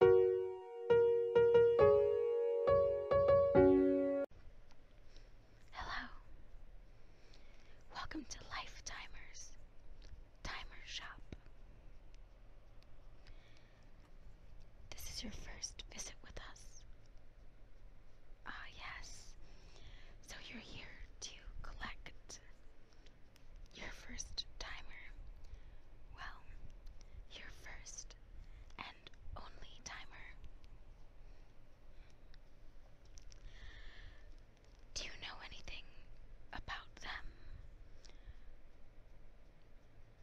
Hello. Welcome to Life Timer Shop. This is your first visit with us. Ah, yes. So you're here to collect your first timer. Well, your first and only timer. Do you know anything about them?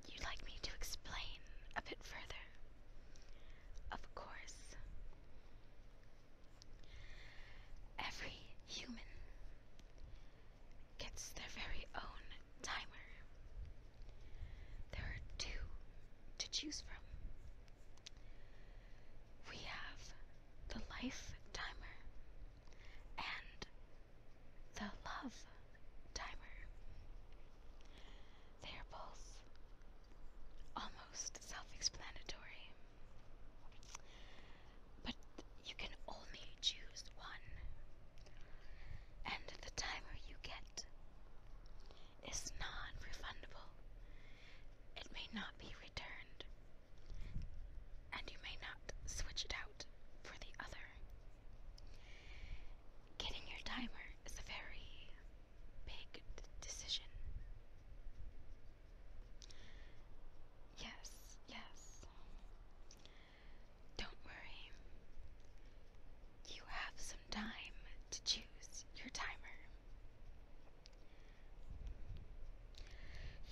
You'd like me to explain a bit further? Of course. Every human gets their very own timer. There are two to choose from. We have the life timer and the love timer. They are both almost self explanatory but you can only choose one. And the timer you get is non refundable. It may not be returned, and you may not switch it out for the other. Getting your timer is a very big decision. Yes, yes. Don't worry. You have some time to choose your timer.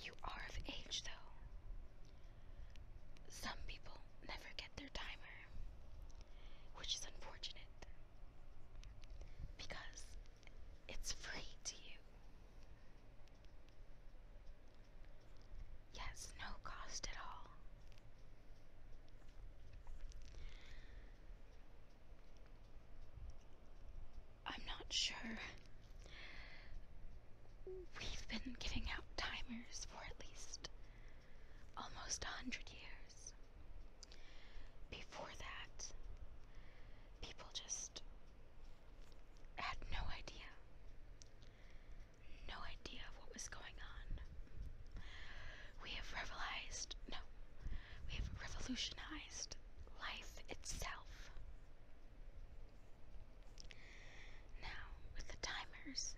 You are of age, though. Some people never get their timer, which is unfortunate because it's free to you. Yes, no cost at all. I'm not sure. We've been giving out timers for at least almost a hundred years. Before that, people just had no idea. No idea of what was going on. We have revolutionized life itself. Now, with the timers,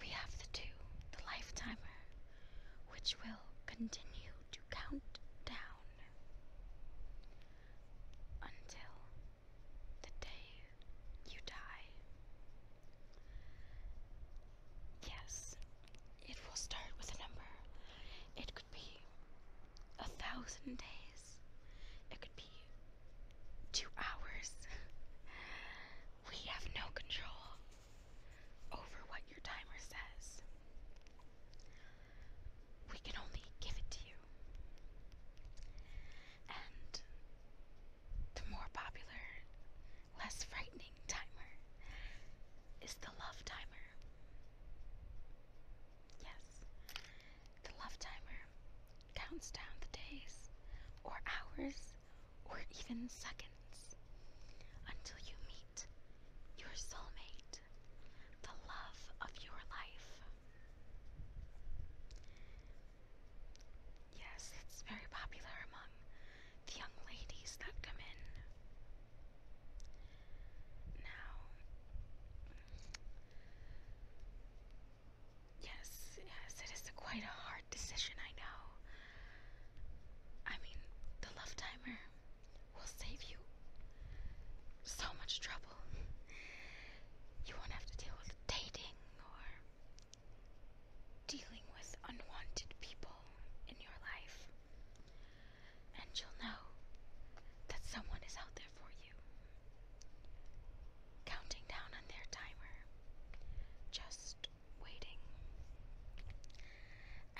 we have the two the life timer, which will continue to count down until the day you die. Yes, it will start with a number. It could be a thousand days, it could be two hours. we have no control over what your timer says we can only give it to you. And the more popular, less frightening timer is the love timer. Yes, the love timer counts down the days, or hours, or even seconds until you meet your soulmate, the love of your life. Yes, it's very popular among the young ladies that come in. Now, yes, yes, it is quite a hard decision, I know. I mean, the love timer will save you so much trouble. You won't have to deal with dating or dealing with unwanted people in your life. And you'll know that someone is out there for you, counting down on their timer, just waiting.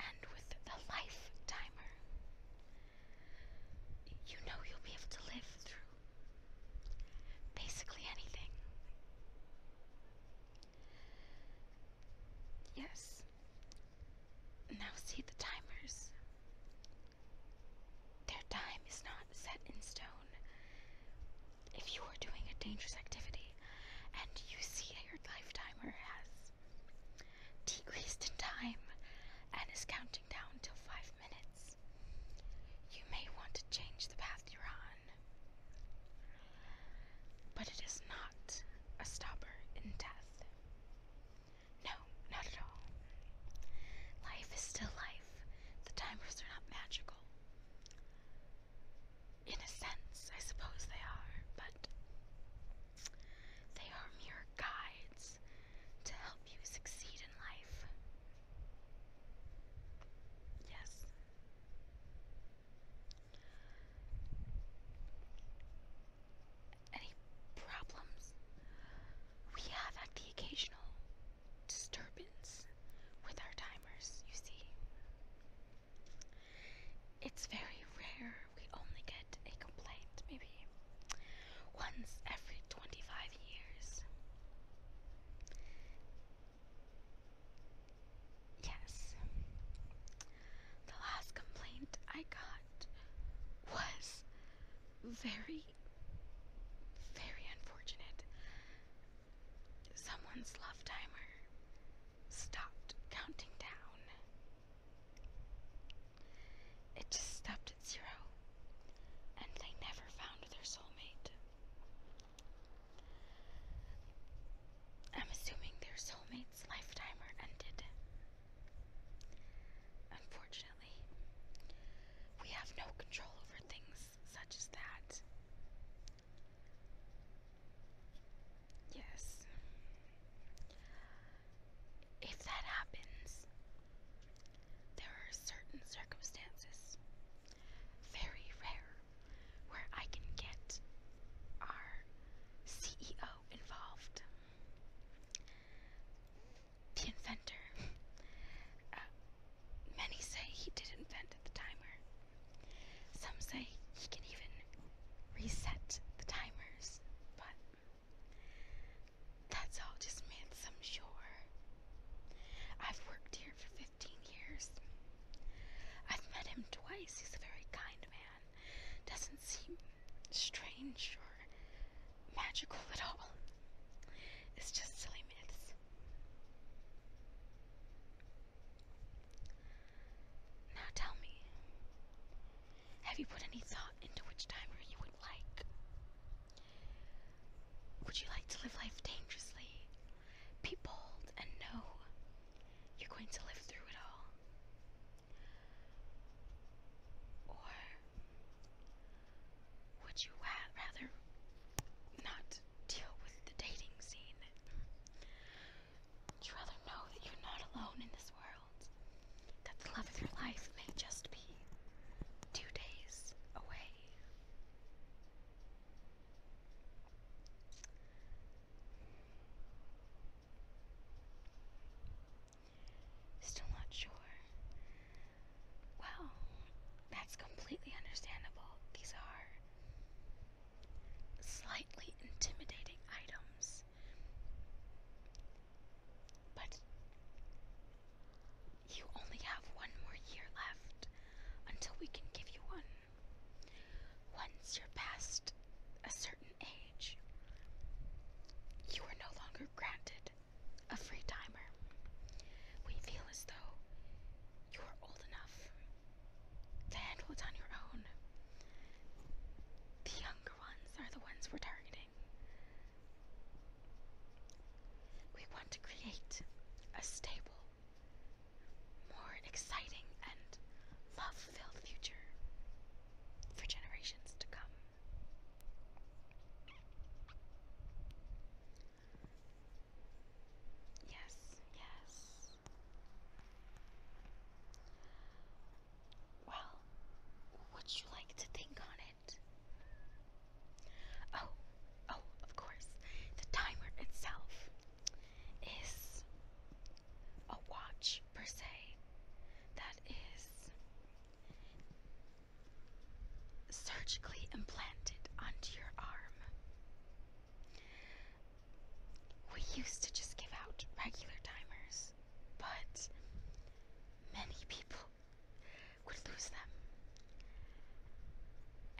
And with the life timer, you know you'll be able to live through basically anything. Yes. Now see the timers. Their time is not set in stone. If you are doing a dangerous activity and you see that your life timer has Decreased in time and is counting down till five minutes. You may want to change the path you're on, but it is not a stopper in death. No, not at all. Life is still life, the timers are not magical. In a sense, I suppose they are, but they are mere guides to help you succeed in life. Yes. Any problems? We have had the occasional disturbance with our timers, you see. It's very rare. We only get a complaint maybe once every 25 years. Yes. The last complaint I got was very, very unfortunate. Someone's love timer stopped counting down it just stopped at zero, and they never found their soulmate. I'm assuming their soulmate's lifetime ended. Unfortunately, we have no control over things such as that. Yes. If that happens, there are certain circumstances, very rare, where I can get our CEO involved. The inventor. Uh, many say he did invent the timer, some say he can even reset the timers, but that's all just myths, I'm sure. I've worked here for 15 years. I've met him twice. He's a very kind man. Doesn't seem strange or magical at all. It's just silly myths. Now tell me, have you put any thought into which timer you would like? Would you like to live life dangerously? Be bold and know you're going to live through it all. Or would you rather not deal with the dating scene? Would you rather know that you're not alone in this world? That the love of your life may just be two days away? Still not sure. Well, that's completely understandable. These are slightly intimidating items. But you only have one more year left until we can give you one. Once you're past a certain age, you are no longer granted a free timer. We feel as though you are old enough to handle it on your own. The younger ones are the ones we're targeting. We want to create a stable, more exciting, and love filled future for generations to come. Yes, yes. Well, would you like to think on it? Oh, oh, of course, the timer itself is a watch per se that is surgically implanted onto your arm we used to just give out regular timers, but many people would lose them.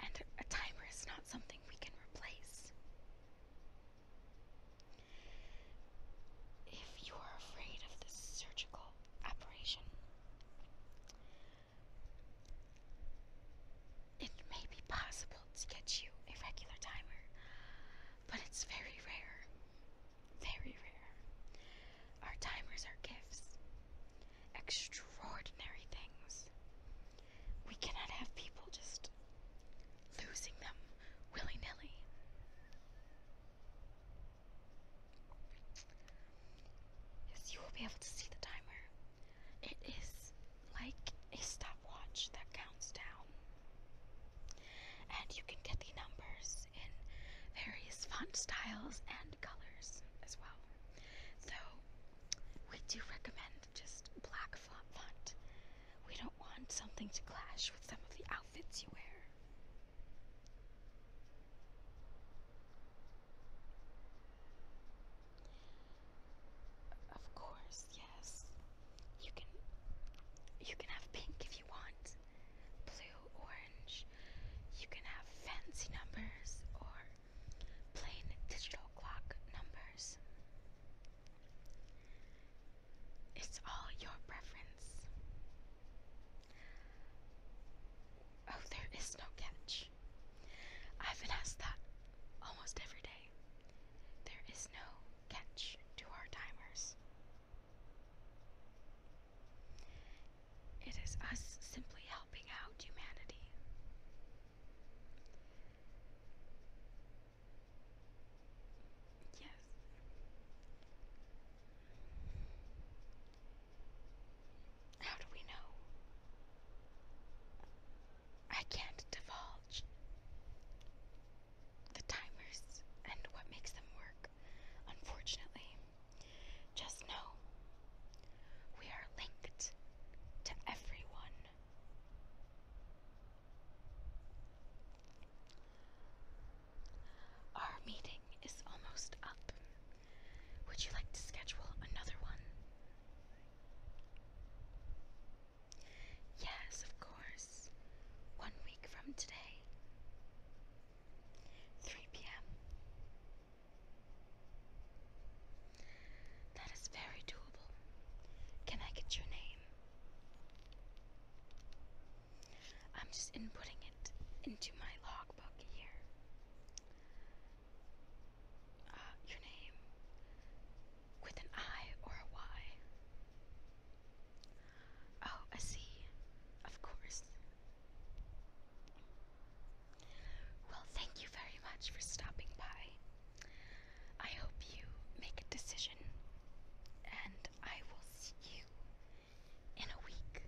And a timer is not something we can replace. If you are afraid of this surgical operation, it may be possible to get you a regular timer, but it's very rare. Very rare. Our timers are gifts, extraordinary things. We cannot have people just losing them willy nilly. Yes, you will be able to see the timer it is like a stopwatch that counts down. And you can get the numbers in various font styles and colors as well. So we do recommend just black font We don't want something to clash with some of the outfits you wear. Of course, yes. You can you can have pink if you want. Blue, orange. You can have fancy numbers or plain digital clock numbers. It's all your preference. Oh, there is no catch. I've been asked that almost every day. There is no catch to our timers. It is us simply helping out humanity. Yes. How do we know? I can't divulge the timers and what makes them work, unfortunately. Just know we are linked to everyone. Our meeting is almost up. Would you like to schedule another one? Yes, of course. One week from today. 3 p.m. That is very doable. Can I get your name? I'm just inputting it into my logbook here. Uh, your name with an I or a Y? Oh, I Of course. Well, thank you very much for stopping by. I hope you make a decision, and I will see you in a week.